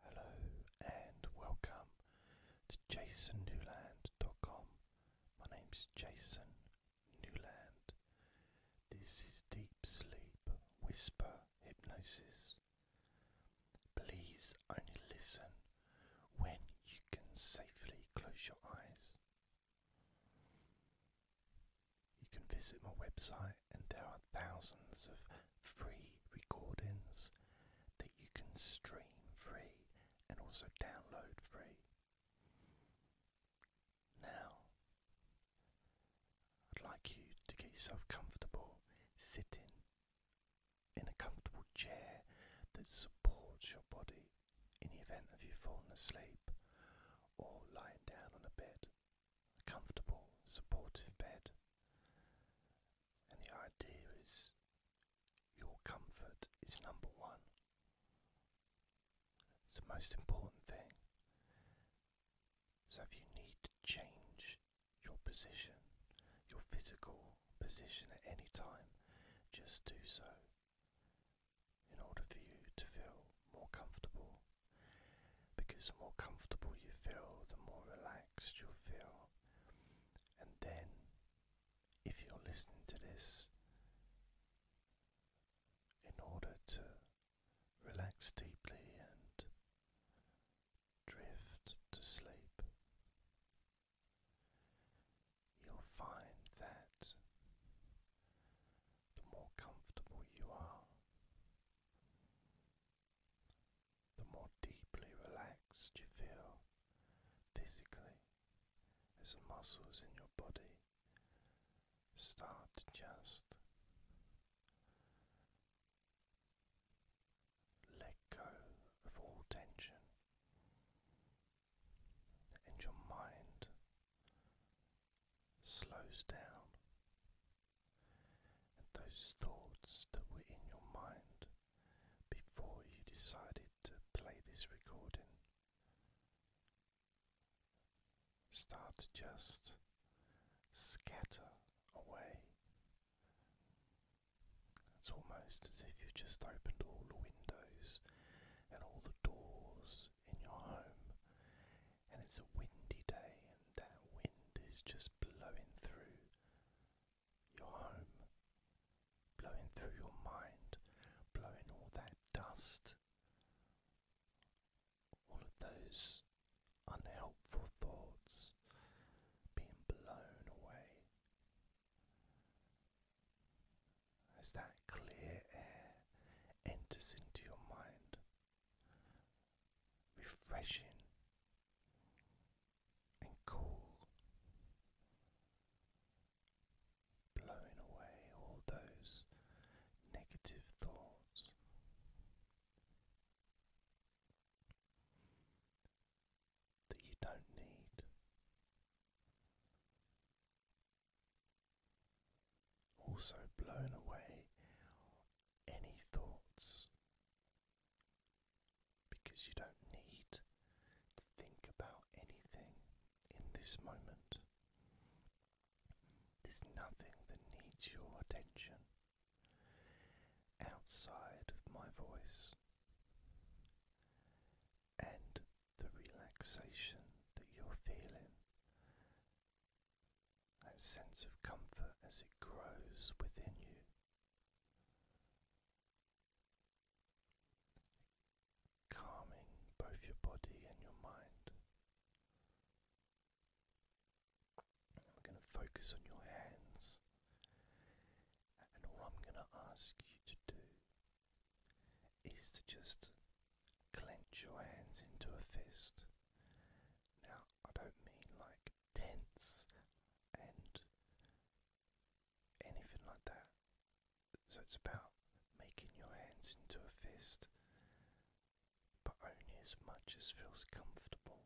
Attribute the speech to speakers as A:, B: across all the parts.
A: Hello and welcome to jasonnewland.com. My name's Jason Newland. This is Deep Sleep Whisper Hypnosis. Please only listen when you can safely close your eyes. You can visit my website, and there thousands of free recordings that you can stream free and also download free. Now, I'd like you to get yourself comfortable sitting in a comfortable chair that supports your body in the event of you falling asleep or lying down on a bed, a comfortable, supportive bed. And the idea is your comfort is number one. It's the most important thing. So if you need to change your position, your physical position at any time, just do so in order for you to feel more comfortable. Because the more comfortable you feel, the more relaxed you'll feel. And then, if you're listening to this, in order to relax deeply and drift to sleep, you'll find that the more comfortable you are, the more deeply relaxed you feel physically as the muscles in your body start to just let go of all tension and your mind slows down and those thoughts that were in your mind before you decided to play this recording. Start to just scatter away. It's almost as if you've just opened all the windows and all the doors in your home, and it's a windy day, and that wind is just blowing through your home, blowing through your mind, blowing all that dust, all of those unhelpful thoughts being blown away as that clear air enters into your mind, refreshing and cool, blowing away all those negative thoughts. That you don't need, also blown away any thoughts because you don't need to think about anything in this moment. There's nothing that needs your attention outside of my voice and the relaxation that you're feeling that sense of comfort as it grows within you. Calming both your body and your mind. And we going to focus on your hands, and all I'm going to ask you to do is to just clench your hands into a fist. Now, I don't mean like tense and anything like that. So it's about making your hands into a fist, but only as much as feels comfortable.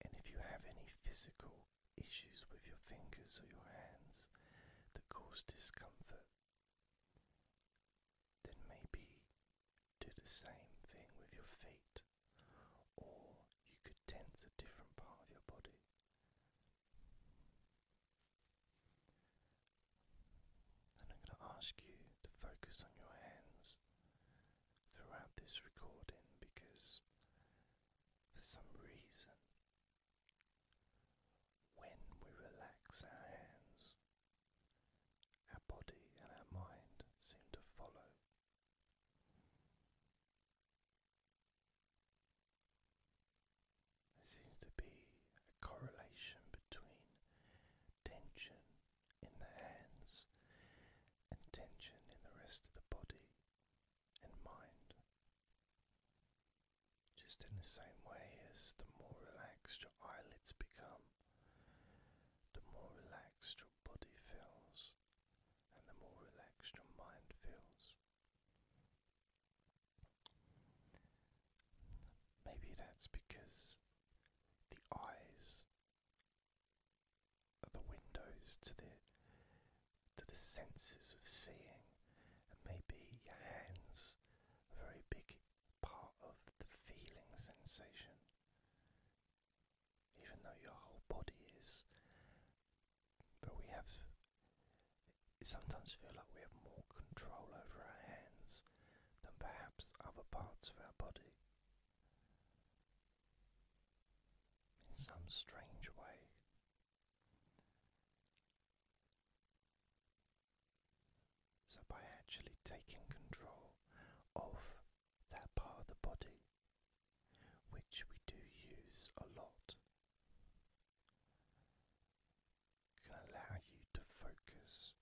A: And if you have any physical issues with your fingers or your hands that cause discomfort, then maybe do the same thing with your feet, or you could tense a different part of your body. And I'm going to ask you to focus on your hands throughout this recording because for some reason, when we relax our hands, our body and our mind seem to follow. There seems to be a correlation between tension in the hands and tension in the rest of the body and mind. Just in the same way as the more relaxed your eyelids become, the more relaxed your body feels and the more relaxed your mind feels. Maybe that's because the eyes are the windows to the to the senses of seeing, and maybe your hands are very big part of the feeling sensation, even though your whole body is. But we have. sometimes feel like we have more control over our hands than perhaps other parts of our body. In some strange way, so, by actually taking control of that part of the body, which we do use a lot, can allow you to focus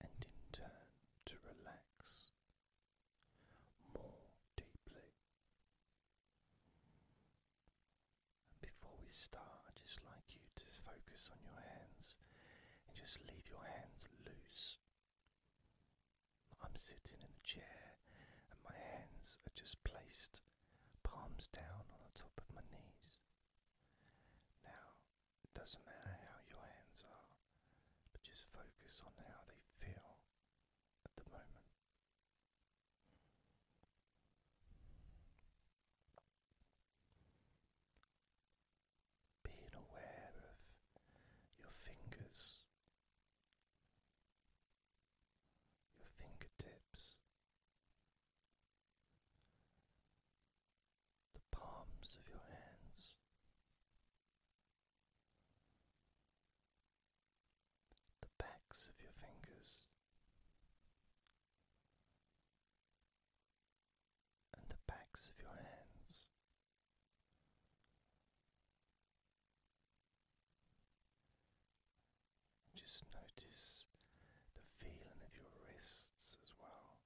A: and in turn to relax more deeply before we start, i just like you to focus on your hands and just leave your hands loose. I'm sitting in a chair and my hands are just placed palms down on the top of my knees. Now, it doesn't matter how your hands are, but just focus on how they feel at the moment. Being aware of your fingers, your fingertips, the palms of your hands. The backs of your fingers, and the backs of your hands. Just notice the feeling of your wrists as well.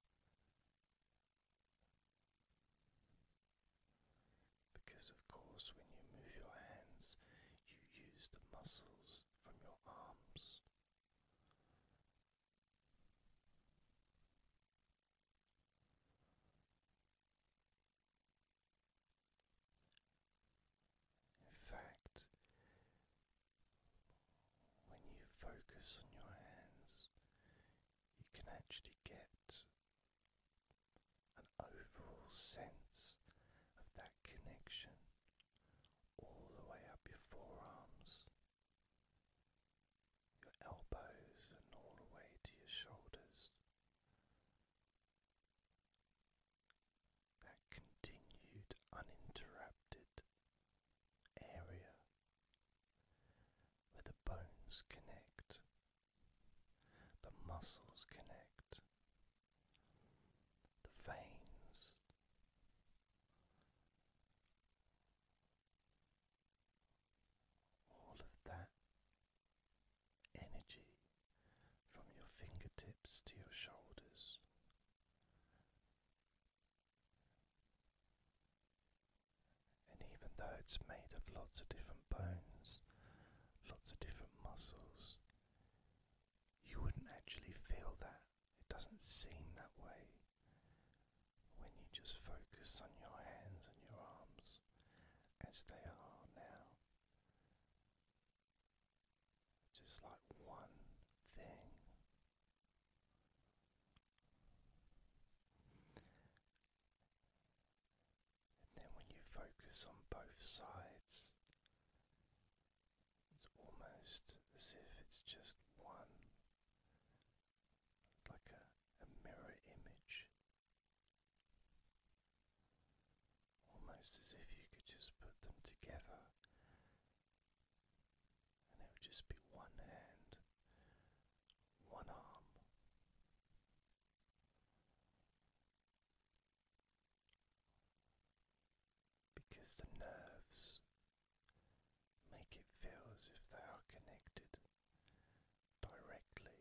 A: Because, of course, when you move your hands, you use the muscles from your arms in fact, when you focus on your hands, you can actually get an overall sense of that connection all the way up your forearms, your elbows, and all the way to your shoulders. That continued uninterrupted area where the bones connect, the muscles connect, the veins. All of that energy from your fingertips to your shoulders. And even though it's made of lots of different bones, lots of different muscles, you wouldn't actually feel that it doesn't seem that way when you just focus on your hands and your arms as they are now. Just like one thing. And then when you focus on both sides, it's almost as if it's just one, like a, mirror image. Almost as if you could just put them together and it would just be one hand, one arm because the nerves make it feel as if they are connected directly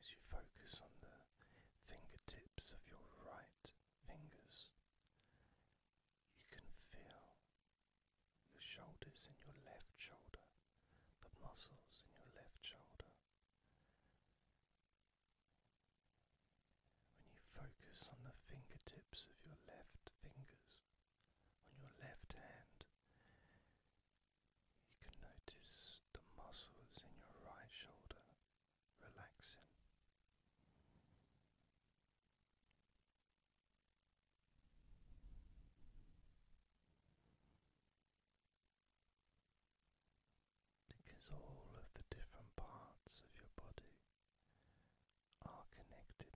A: as you focus on the fingertips of your right fingers. You can feel your shoulders and your left shoulder, the muscles in your left shoulder, when you focus on the fingertips of your left fingers, on your left hand, you can notice the muscles in your right shoulder relaxing because all of the different parts of your body are connected.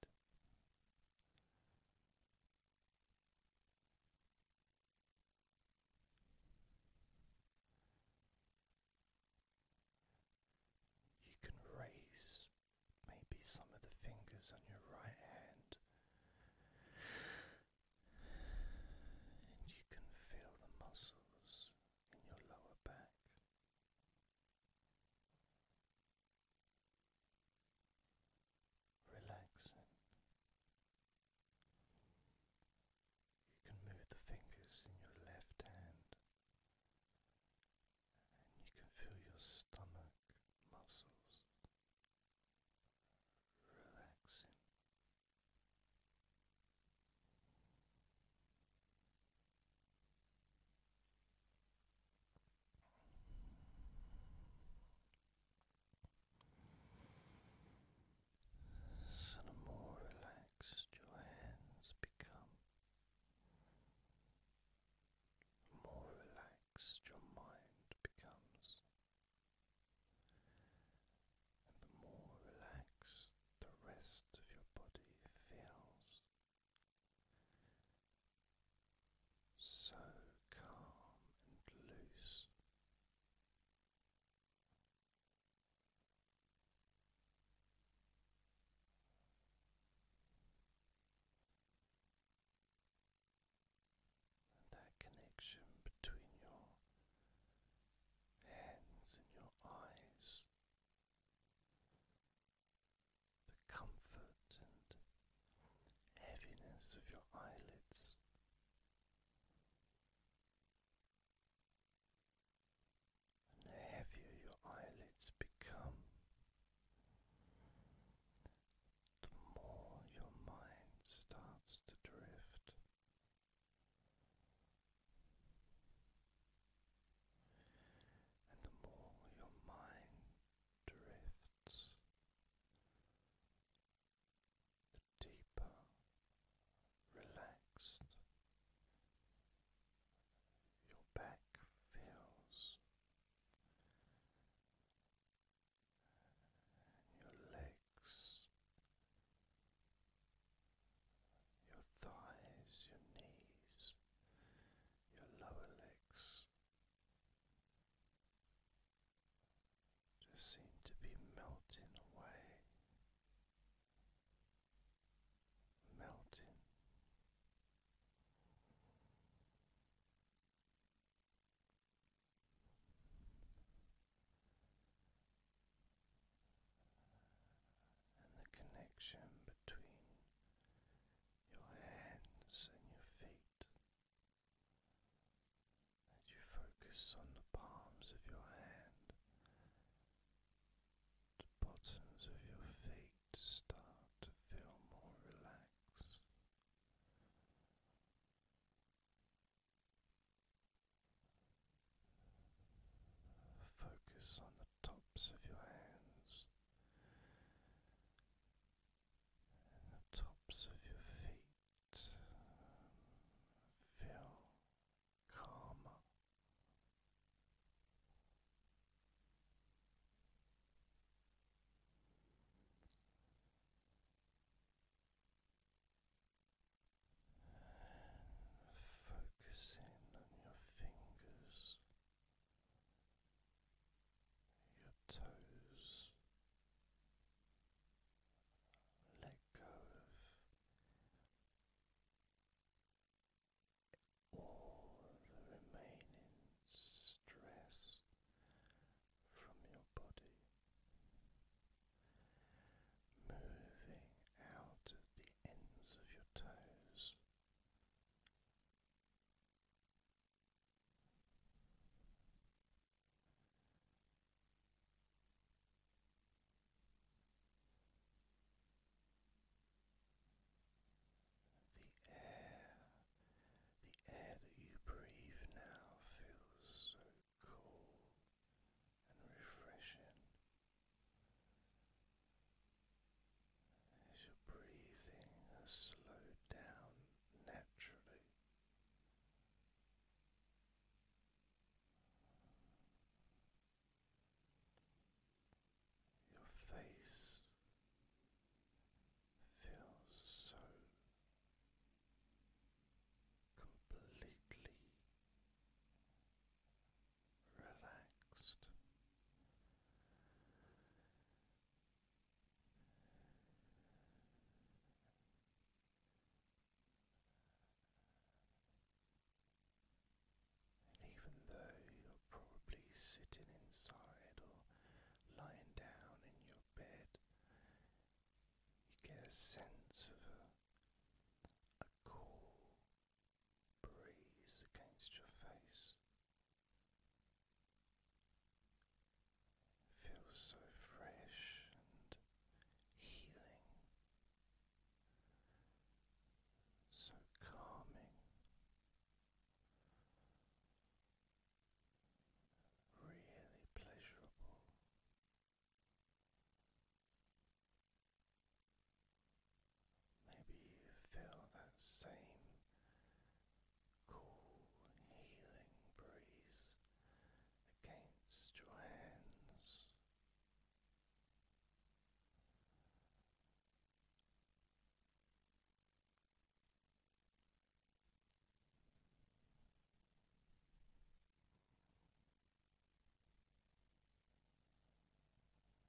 A: You can raise maybe some of the fingers on your right hand, and you can feel the muscles in your lower back. Relaxing. You can move the fingers in your left hand, and you can feel your stomach muscles relaxing. So the more relaxed your hands become, more relaxed your mind becomes the more relaxed the rest of your body feels. So calm and loose. And that connection between your hands and your eyes, the comfort and heaviness of your eyelids. And heavier your eyelids become, the more your mind starts to drift and the more your mind drifts, the deeper relaxed your back feels, and your legs your thighs, your knees, your lower legs just seem to be melting away, melting and the connection between your hands and your feet as you focus on the palms of your hand, the bottoms of your feet start to feel more relaxed. Focus on the tops of your hands the tops of your feet. Feel calmer. Focusing on your fingers, your toes. Let go of all the remaining stress from your body moving out of the ends of your toes. The air, the air that you breathe now feels so cool and refreshing as your breathing has slowed down naturally. Your face feels so completely relaxed. And even though you're probably sitting inside or lying down in your bed, you get a sense of a cool breeze against your face. feels so fresh and healing, so calming. Really pleasurable. Maybe you feel that same cool, healing breeze against your hands.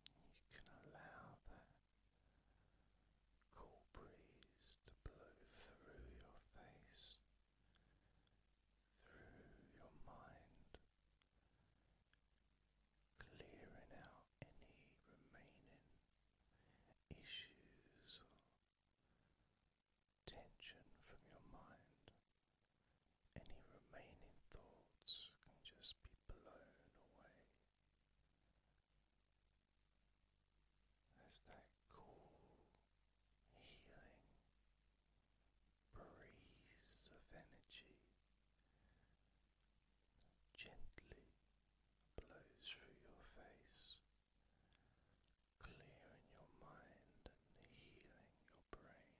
A: You can allow that cool breeze to blow through your face, through your mind, clearing out any remaining issues tension from your mind. Any remaining thoughts can just be blown away. There's that cool, healing breeze of energy gently blows through your face, clearing your mind and healing your brain.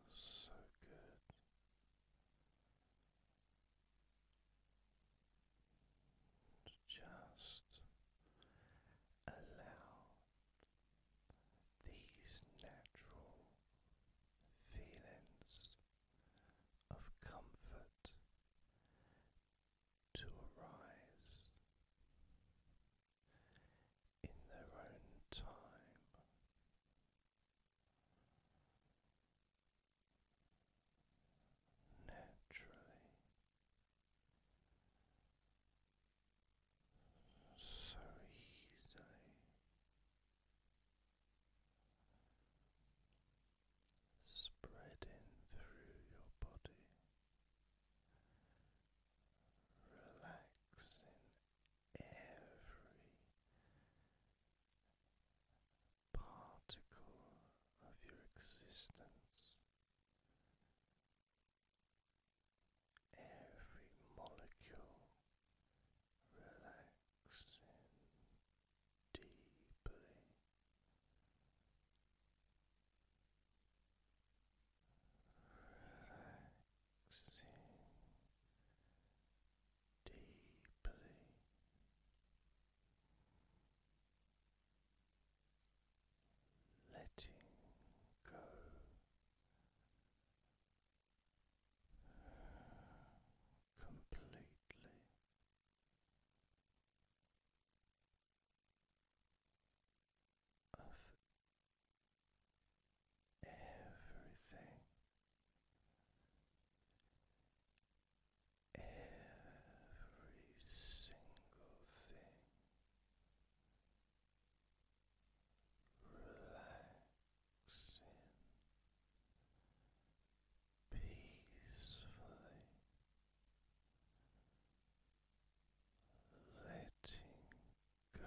A: It feels so good. just allow these natural feelings of comfort to arise in their own time. Naturally, so easily, spreading through your body, relaxing every particle of your existence every molecule relaxing deeply. Relaxing deeply. Letting go completely. Of everything, every single thing, relax peacefully, letting go completely. Letting go